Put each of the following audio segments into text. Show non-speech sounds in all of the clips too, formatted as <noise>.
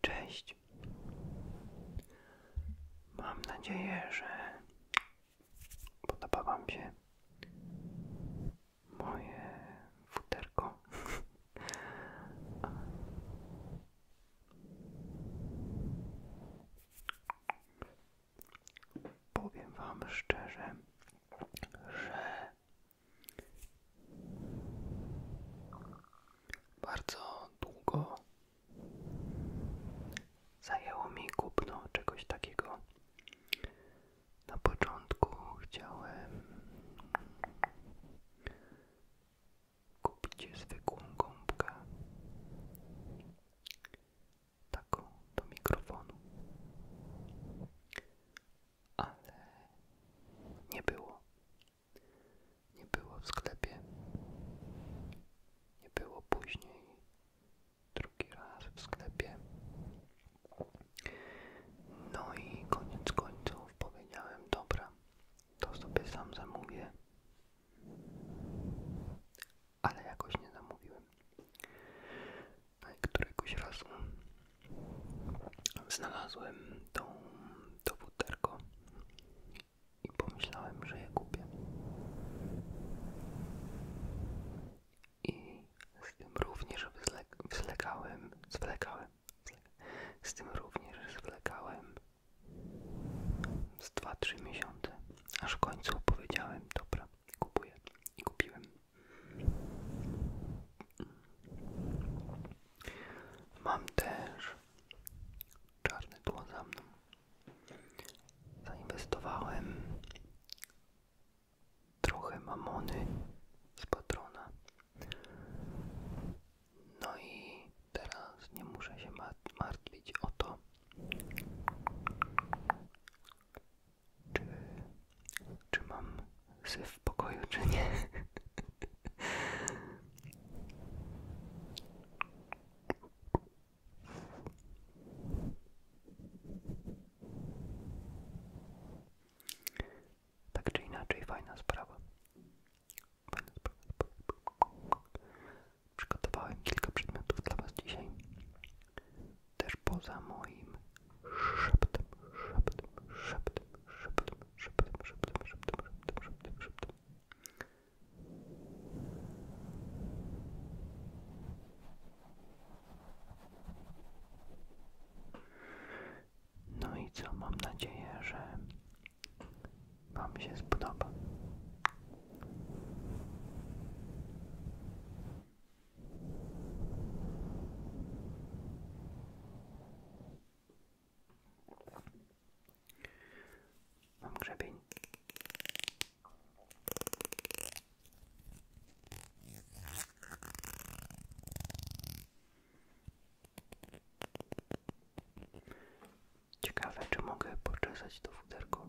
Cześć. Mam nadzieję, że podoba Wam się moje futerko powiem Wam szczerze, że bardzo długo zajęło mi kupno czegoś takiego. Na początku chciałem kupić zwykłą gąbkę taką do mikrofonu. Ale nie było. Nie było w sklepie. Nie było później. Drugi raz w sklepie. No i koniec końców powiedziałem: Dobra, to sobie sam zamówię ale jakoś nie zamówiłem. No któregoś razu znalazłem tą, to buterko i pomyślałem, że je kupię. I z tym również zwlekałem, zwlekałem, z tym również zwlekałem z dwa-trzy miesiące, aż w końcu powiedziałem, dobra, kupuję i kupiłem. Mam też czarne tło za mną. Zainwestowałem trochę mamony z patrona. No i teraz nie muszę się martwić o to, czy, czy mam syf w pokoju, czy nie. Tak czy inaczej, Fajna sprawa przygotowałem kilka przedmiotów dla Was dzisiaj. Też poza moim szeptem, szeptem, szeptem, szeptem, szeptem, szeptem, szeptem, szeptem, szeptem, szeptem. No i co, mam nadzieję, że Wam się spodoba. Mam grzebień. Ciekawe, czy mogę poczesać do futerko.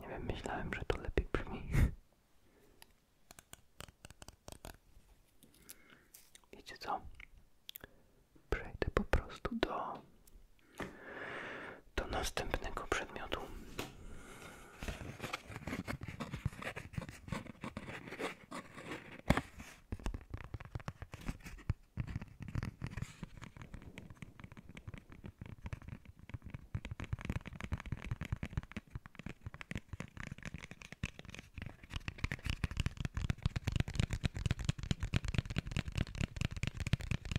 Nie wiem, myślałem, że to lepiej brzmi. <laughs> Wiecie co? przejdę po prostu do, do następnego przedmiotu.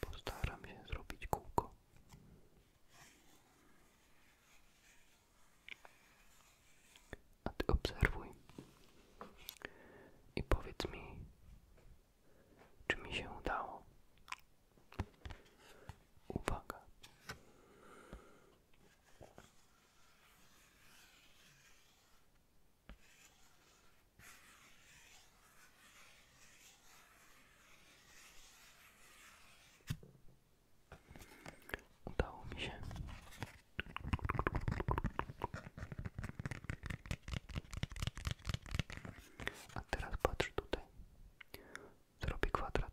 Postaram się zrobić kółko. A ty obserwuj i powiedz mi, czy mi się udało. Uwaga. Udało mi A teraz patrz tutaj. Zrobię kwadrat.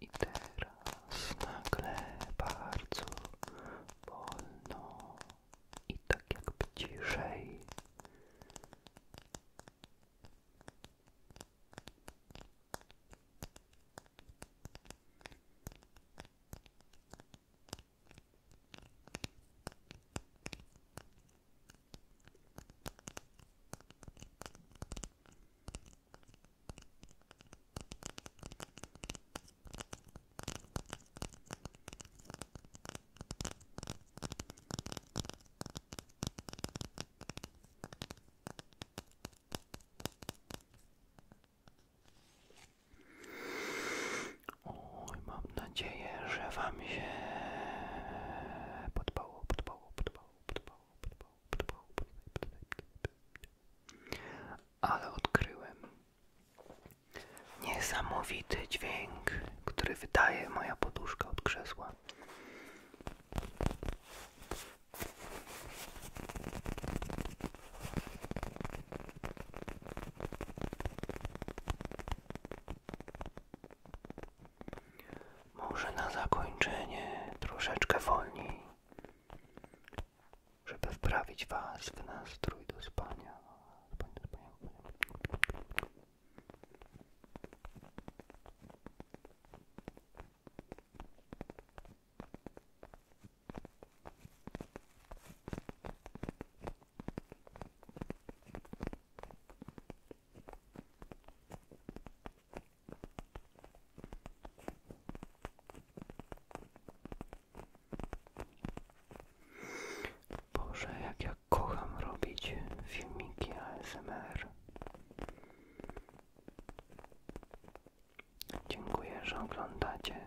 I teraz nagle bardzo wolno i tak jak ciszej. Oj, mam nadzieję, że Wam się podobało, podobało, podobało. Ale odkryłem niesamowity dźwięk, który wydaje moja poduszka od krzesła. Może na zakończenie troszeczkę wolniej, żeby wprawić Was w nastrój do spania. Boże, jak ja kocham robić filmiki ASMR. Dziękuję, że oglądacie.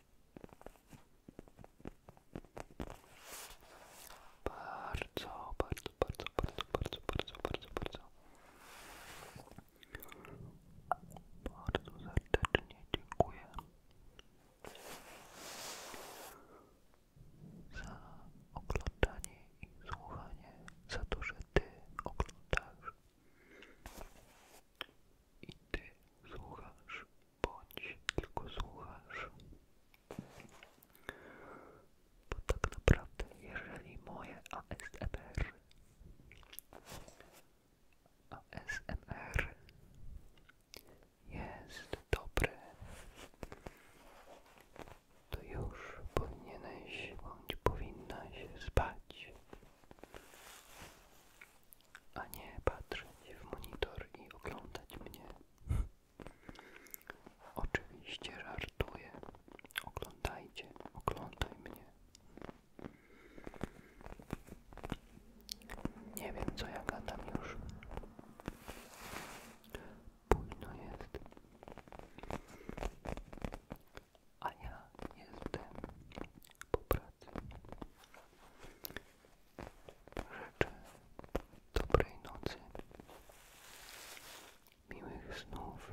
Bardzo, bardzo, bardzo, bardzo, bardzo, bardzo, bardzo, bardzo. Bardzo serdecznie dziękuję za oglądanie i słuchanie, za to, że Ty oglądasz i ty słuchasz, bądź tylko słuchasz. Bo tak naprawdę, jeżeli moje ASMR, ASMR jest dobre, to już powinieneś bądź powinnaś się spać a nie patrzeć w monitor i oglądać mnie. Oczywiście żartuję. Oglądajcie, oglądaj mnie. Nie wiem co ja gadam już. Późno jest a ja jestem po pracy. Życzę dobrej nocy, miłych snów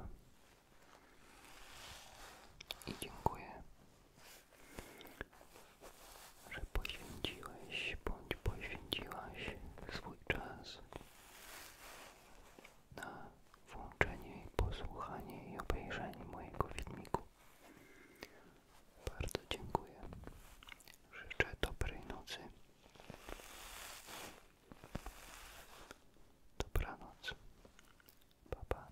i dziękuję, że poświęciłeś bądź poświęciłaś swój czas na włączenie, posłuchanie i obejrzenie mojego filmiku. Bardzo dziękuję. Życzę dobrej nocy. Dobranoc. Pa, pa.